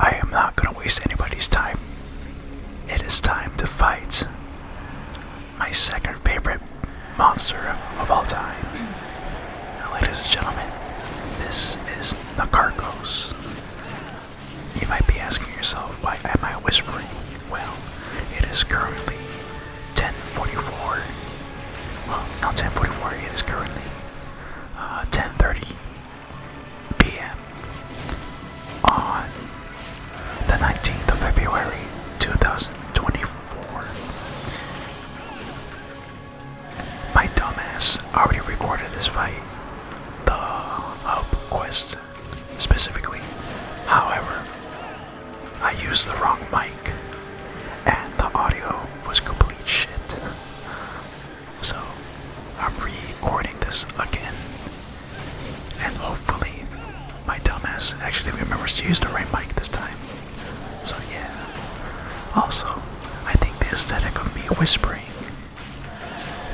I am not going to waste anybody's time. It is time to fight my second favorite monster of all time. ladies and gentlemen, this is the Nakarkos. You might be asking yourself, why am I whispering? Well, it is currently 10:44. Well, not 10:44. It is currently 10:30. Uh, p.m. on the 19th of February 2024. My dumbass already recorded this fight, the hub quest specifically. However, I used the wrong mic and the audio was complete shit. So I'm recording this again. And hopefully my dumbass actually remembers to use the right mic this time. So yeah. Also, I think the aesthetic of me whispering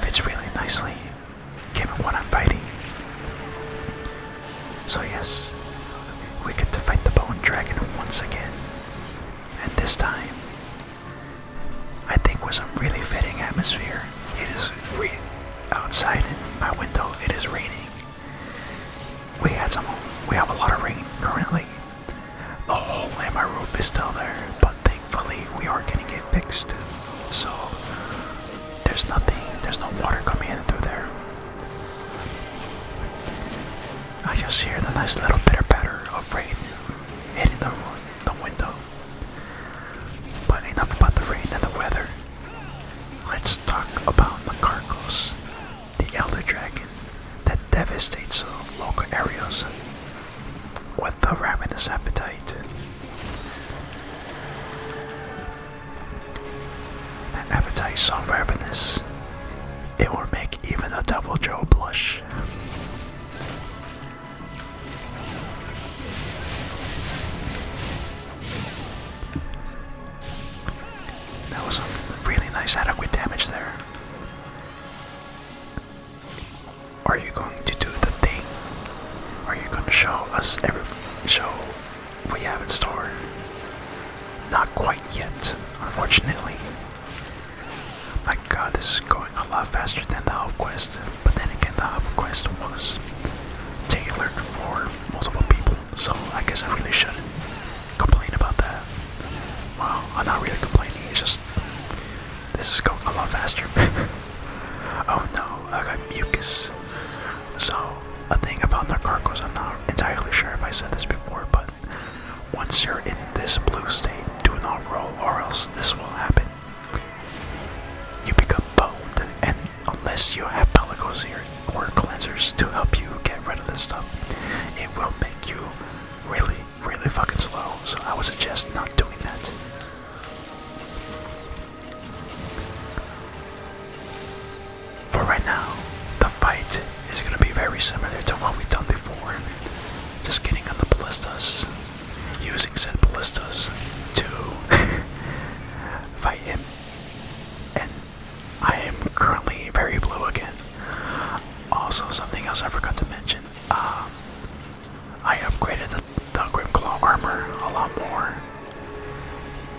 fits really nicely given what I'm fighting. So yes, we get to fight the bone dragon once again. And this time, I think with some really fitting atmosphere. It is raining outside my window. It is raining. We had some. We have a lot of rain currently. The hole in my roof is still there, but thankfully we are going to get fixed. So there's nothing. There's no water coming in through there. I just hear the nice little pitter patter of rain hitting the, the window. But enough about the rain and the weather. Let's talk about the Carcos, the elder dragon that devastates local areas with a ravenous appetite. That appetite so ravenous it will make even a Devil Joe blush. That was a really nice adequate damage there. Are you going to do the thing? Are you going to show us every show we have in store? Not quite yet, unfortunately. My god, this is going a lot faster than the half quest, but then again, the half quest was tailored for multiple people, so I guess I really shouldn't complain about that. Well, I'm not really complaining, it's just this is going a lot faster. oh no, I got mucus. So, a thing about car Nakarkos, I'm not entirely sure if I said this before, but once you're in this blue state, do not roll or else this will happen. You become boned, and unless you have pellicles here or cleansers to help you get rid of this stuff, it will make you really, really fucking slow. So I would suggest not doing that. For right now, the fight is going to be very similar to what we've done before. Just getting on the ballistas, using said ballistas to fight him. And I am currently very blue again. Also, something else I forgot to mention. Uh, I upgraded the, Grim Claw armor a lot more.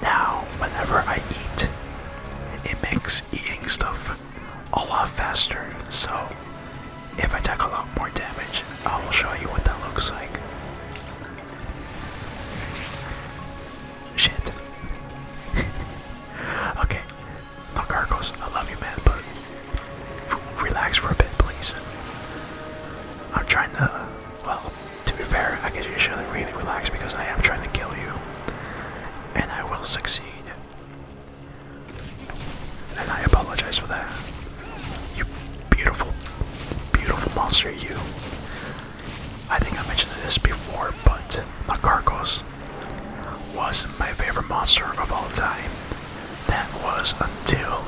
Now, whenever I eat, it makes eating stuff a lot faster. So if I take a lot more damage, I will show you what that looks like. Shit. okay. No gargles. I love you, man, but relax for a bit, please. I'm trying to. Well, to be fair, I can you shouldn't really relax because I am trying to kill you. And I will succeed. And I apologize for that. You beautiful, beautiful monster, you. I think I mentioned this before, but Nakarkos was my favorite monster of all time. That was until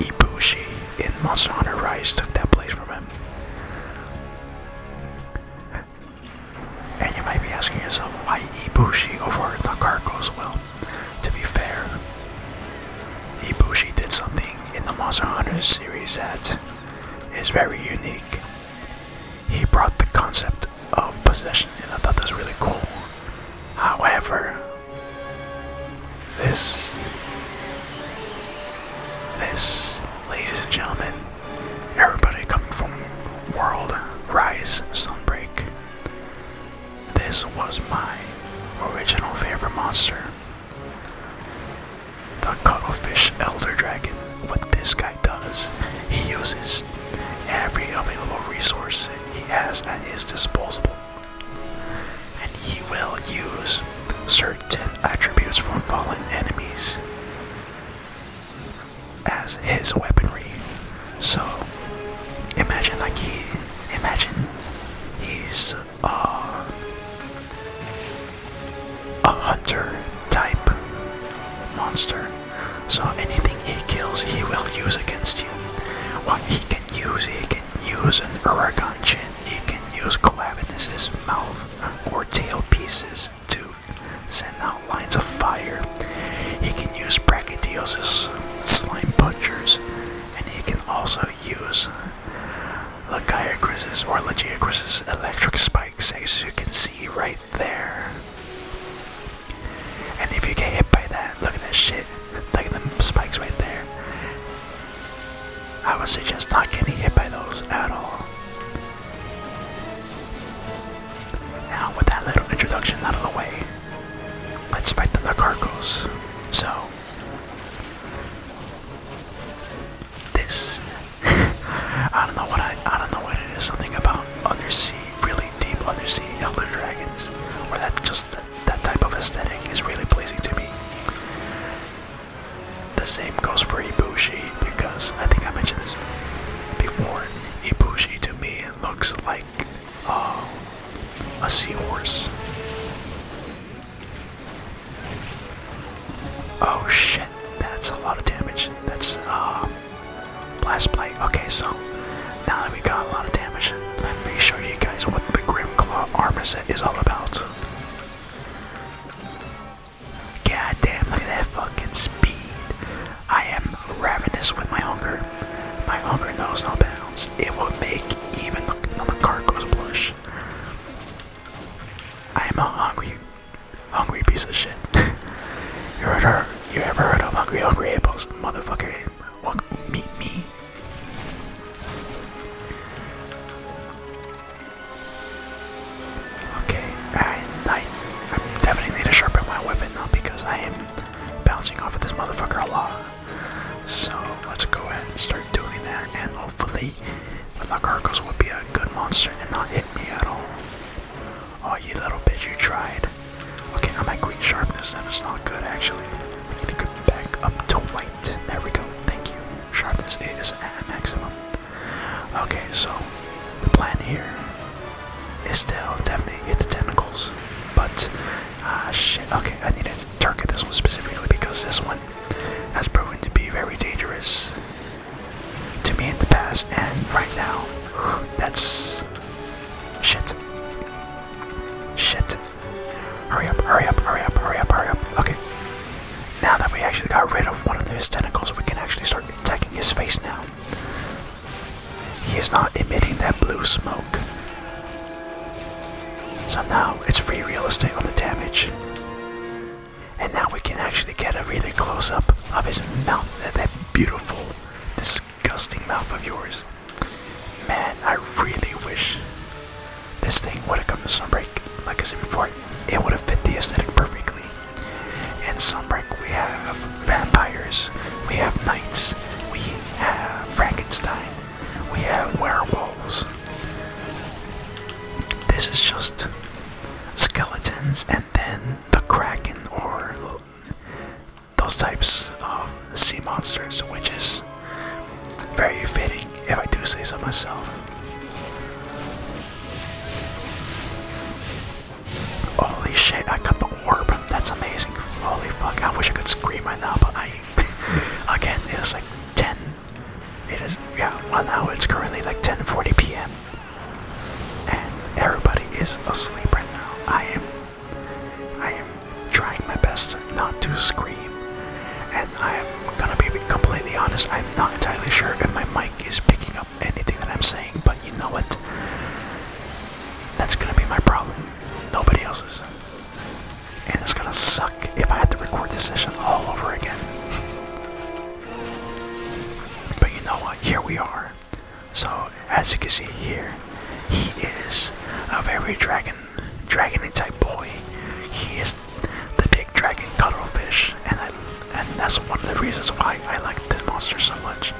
Ibushi in Monster Hunter Rise took that place from him. And you might be asking yourself why Ibushi over the car goes Well, to be fair, Ibushi did something in the Monster Hunter series that is very unique. He brought the concept of possession, and I thought that was really cool. However, this, this, ladies and gentlemen, Everybody coming from World Rise Sunbreak. This was my original favorite monster. The Cuttlefish Elder Dragon. What this guy does, he uses every available resource he has at his disposal. And he will use certain attributes from fallen enemies as his weaponry. So imagine like he imagine he's uh, a hunter type monster. So anything he kills he will use against you. What he can use, he can use an Uragon chin, he can use clavin mouth or tail pieces too send out lines of fire. He can use Brachydiosis slime punchers, and he can also use Lagiacris's or Lagiacris's electric spikes, as you can see right there. And if you get hit by that, look at that shit, look at them spikes right there. I would suggest not getting hit by those at all. Now, with that little introduction out of the way, let's fight the Nacarcos. So, this, I don't know what I, I don't know what it is. Something about undersea, really deep undersea elder dragons, where that just that, that type of aesthetic is really pleasing to me. The same goes for Ibushi because I think I mentioned this before. Ibushi to me looks like uh, a seahorse. Oh shit, that's a lot of damage. That's uh, blast plate. Okay, so now that we got a lot of damage, let me show you guys what the Grim Claw armor set is all about. God damn, look at that fucking speed. I am ravenous with my hunger. My hunger knows no bounds. It will make even the, the cart goes blush. I am a hungry, hungry piece of shit. you, heard her, you ever heard of Hungry Hungry apples, Motherfucker, walk, meet me. Okay, I, I, I definitely need to sharpen my weapon though because I am bouncing off of this motherfucker a lot. So let's go ahead and start doing that, and hopefully, the Carcos will be a good monster and not hit me at all. Oh, you little bitch, you tried. Okay, I'm at green sharpness, and it's not good actually. We need to go back up to white. There we go. Thank you. Sharpness is at maximum. Okay, so the plan here is still definitely hit the tentacles, but ah shit. Okay, I needed to target this one specifically because this one has proven to be very dangerous to me in the past, and right now, that's shit. Shit. Hurry up! Hurry up! Hurry up! Hurry up! Hurry up! Okay. Now that we actually got rid of one of his tentacles, we can actually start attacking his face now. He is not emitting that blue smoke. So now it's free real estate on the damage. And now we can actually get a really close up of his mouth, that beautiful, disgusting mouth of yours. Man, I really wish this thing would have come to Sunbreak, like I said before, it would have fit the aesthetic perfectly. In Sunbreak, we have vampires, we have knights, we have Frankenstein, we have werewolves. This is just skeletons and then the kraken or those types of sea monsters, which is very fitting if I do say so myself. Holy shit, I got the orb. That's amazing. Holy fuck, I wish I could scream right now, but I. again, it is like 10. It is, yeah, well now it's currently like 10:40 p.m. And everybody is asleep right now. I am. I am trying my best not to scream. And I am gonna be completely honest, I'm not entirely sure if my mic is picking up anything that I'm saying, but you know what? That's gonna be my problem. Nobody else's. And it's gonna suck if I had to record this session all over again. But you know what? Here we are. So as you can see here, he is a very dragon, dragony type boy. He is the big dragon cuttlefish, and I and that's one of the reasons why I like this monster so much.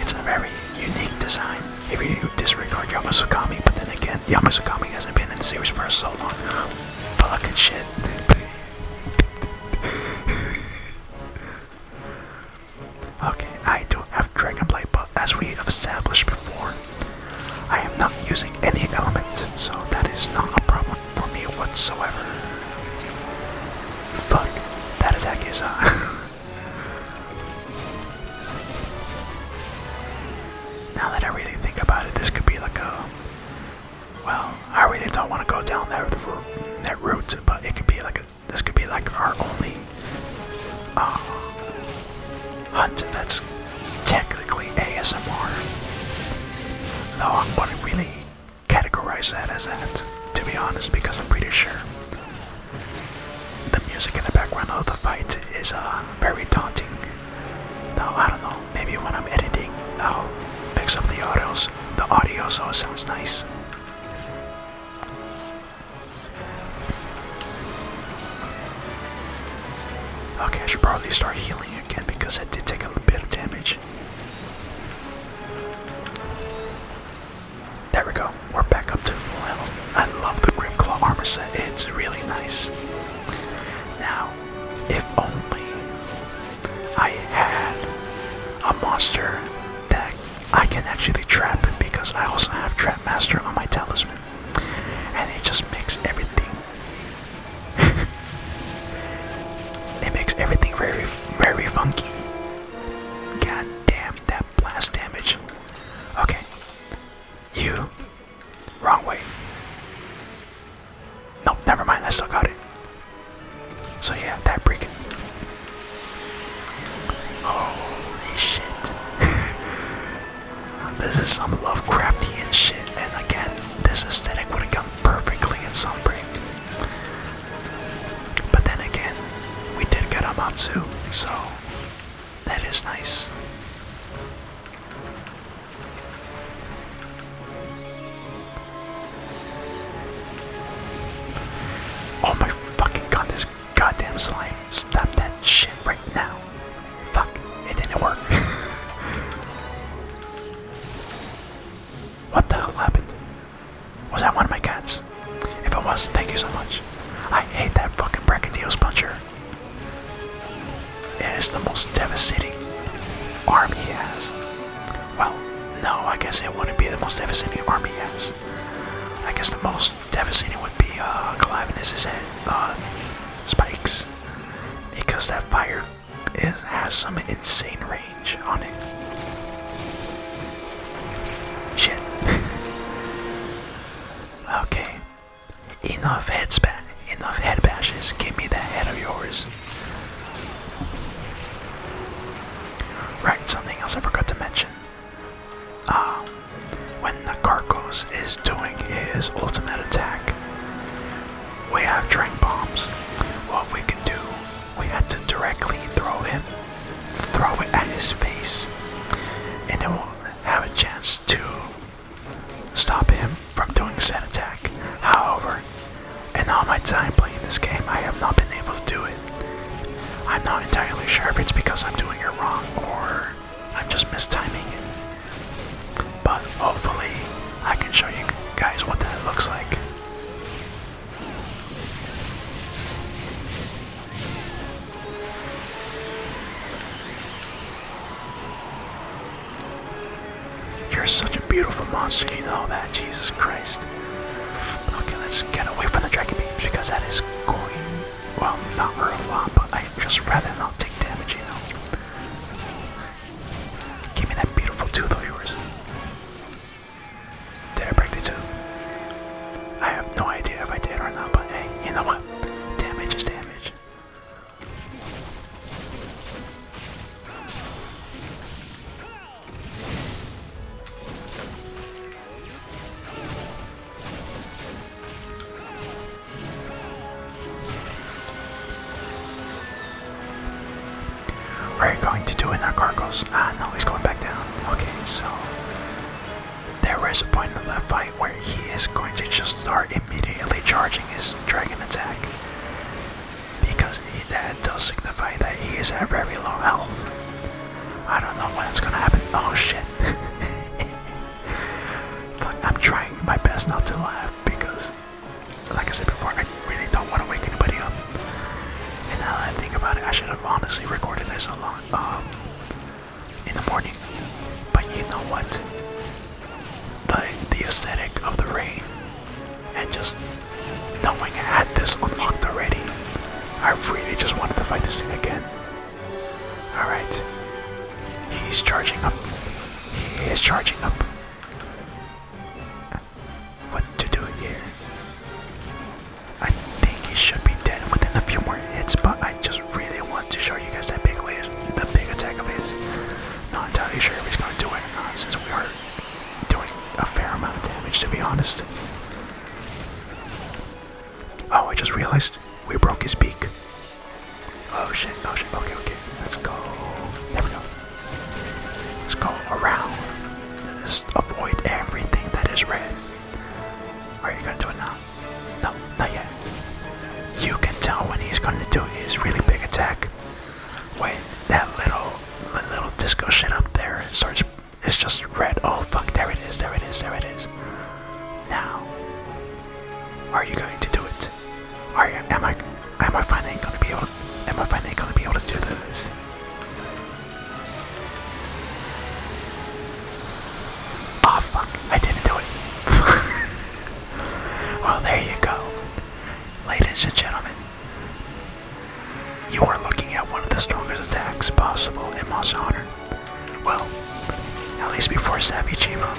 It's a very unique design. If you disregard Yamasukami, but then again, Yamasukami hasn't been in the series for so long. Fucking shit. okay, I do have Dragon Dragonblade, but as we have established before, I am not using any element, so that is not a problem for me whatsoever. Fuck, that attack is uh Now that I really think about it, this could be like a well, I really don't want to go down that route, that route, but it could be like a this could be like our only uh, hunt that's technically ASMR. Though no, I want to really categorize that as that, to be honest, because I'm pretty sure the music in the background of the fight is uh, very daunting. Now, I don't know, maybe when I'm editing, I'll mix up the audios, the audio sounds nice. Okay, I should probably start healing again because I did take a little bit of damage. There we go. We're back up to full health. I love the Grim Claw armor set. It's really nice. Now, if only I had a monster that I can actually trap because I also have Trap Master on my talisman. And it just makes everything it makes everything very, very funky. God damn that blast damage. Okay. You. Wrong way. Nope, never mind. I still got it. So yeah, that breaking. Holy shit. this is some Lovecraftian shit. And again, this aesthetic would have come perfectly in Sunbreak. But then again, we did get a matsu, so that is nice. Oh my fucking god, this goddamn slime. Stop that shit right now. Fuck, it didn't work. What the hell happened? Was that one of my cats? If it was, thank you so much. I hate that fucking Brachydeos puncher. It is the most devastating arm he has. Well, no, I guess it wouldn't be the most devastating arm he has. I guess the most devastating would be uh, Calavinus's head, uh, spikes. Because that fire it has some insane range on it. Shit. okay. Enough head spat. Enough head bashes. Give me that head of yours. Right, something else I forgot to mention. Uh, when the Carcos is doing his ultimate attack, we have drink bombs. What we can do, we have to directly throw him, throw it at his face, and it will have a chance to stop him from doing a said attack. However, in all my time playing this game, I have not been able to do it. I'm not entirely sure if it's because I'm doing it wrong or I'm just mistiming it. But hopefully, I can show you guys what that looks like. You're such a beautiful monster, you know that, Jesus Christ. Okay, let's get away from the dragon beams because that is going, well, not hurt a but I just rather not take damage, you know. Give me that beautiful tooth of yours. Did I break the tooth? I have no idea if I did or not, but hey, you know what? Damage is damage. What are you going to do in that cargoes? Ah, no, he's going back down. Okay, so there is a point in that fight where he is going to just start immediately charging his dragon attack because he, that does signify that he is at very low health. I don't know when it's gonna happen. Oh shit! I'm trying my best not to laugh because like I said before, I really don't want to wake anybody up. And now that I think about it, I should have honestly recorded this a lot um, in the morning. But you know what? The the aesthetic of the rain and just knowing I had this unlocked already, I really just wanted to fight this thing again. All right, he's charging up. He is charging up. What to do here? I think he should be dead within a few more hits, but I just really want to show you guys that big laser, that big attack of his. Not entirely sure if he's going to do it or not, since we are doing a fair amount of damage, to be honest. Oh, I just realized we broke his beak. Oh shit, oh shit, okay, okay. Let's go. There we go. Let's go around. Just avoid everything that is red. Are you gonna do it now? No, not yet. You can tell when he's gonna do his really big attack. When that little little disco shit up there starts it's just red. Oh fuck, there it is, there it is, there it is. Now, are you going to do it? Are am I am I finally gonna be able to, am I finally gonna be able to do this? Oh fuck, I didn't do it. well there you go. Ladies and gentlemen, you are looking at one of the strongest attacks possible in Monster Hunter. Well, at least before Savvy Chiba.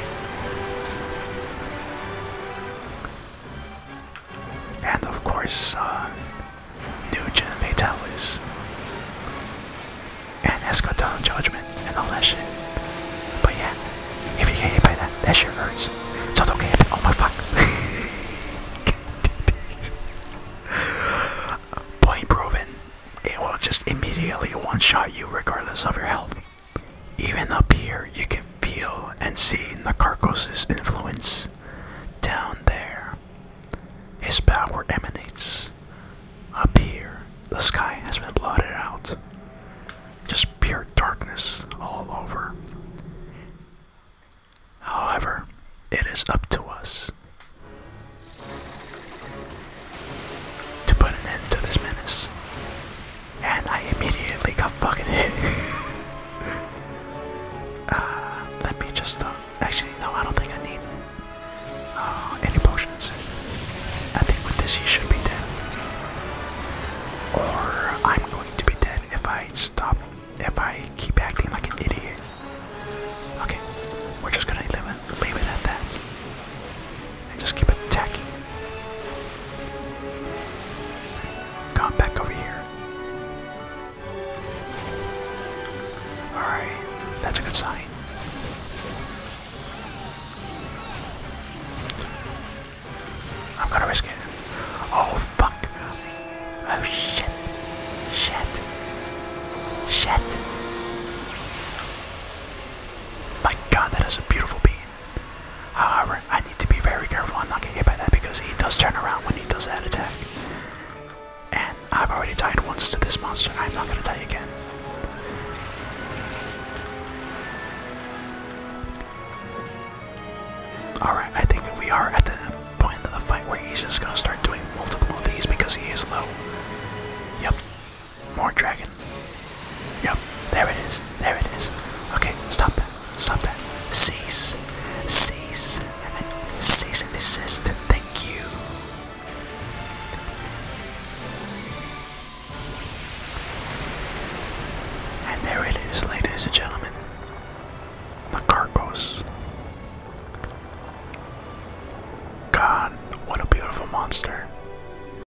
And of course, uh, Nugent Vitalis. And Escadon Judgment and all that shit. But yeah, if you get hit by that, that shit hurts. So don't get hit. Oh my fuck. Point proven. It will just immediately one shot you regardless of your health. Even up here, you can feel and see Nakarkos' influence. Down there, his power emanates. Up here, the sky has been blotted out. Just pure darkness all over. However, it is up to us to put an end to this menace and I immediately got fucking hit. Uh, let me just. Uh, actually, no, I don't think I need uh, any potions. I think with this, he should be dead. Or I'm going to be dead if I stop, if I keep acting like an idiot. Okay, we're just gonna leave it, leave it at that just keep attacking. Come back over here. Alright, that's a good sign. I'm gonna risk it. Oh fuck. Oh shit. Shit. Shit. My god, that is a beautiful beam. However, I need to be very careful I'm not get hit by that because he does turn around when he does that attack. And I've already died once to this monster, I'm not gonna die again. Alright, I think we are at the point of the fight where he's just gonna start doing multiple of these because he is low. Yep, more dragon. Yep, there it is. There it is. Okay, stop that. Stop that. Cease. Cease. And cease and desist. Thank you. And there it is, ladies and gentlemen. The Carcos. God, what a beautiful monster.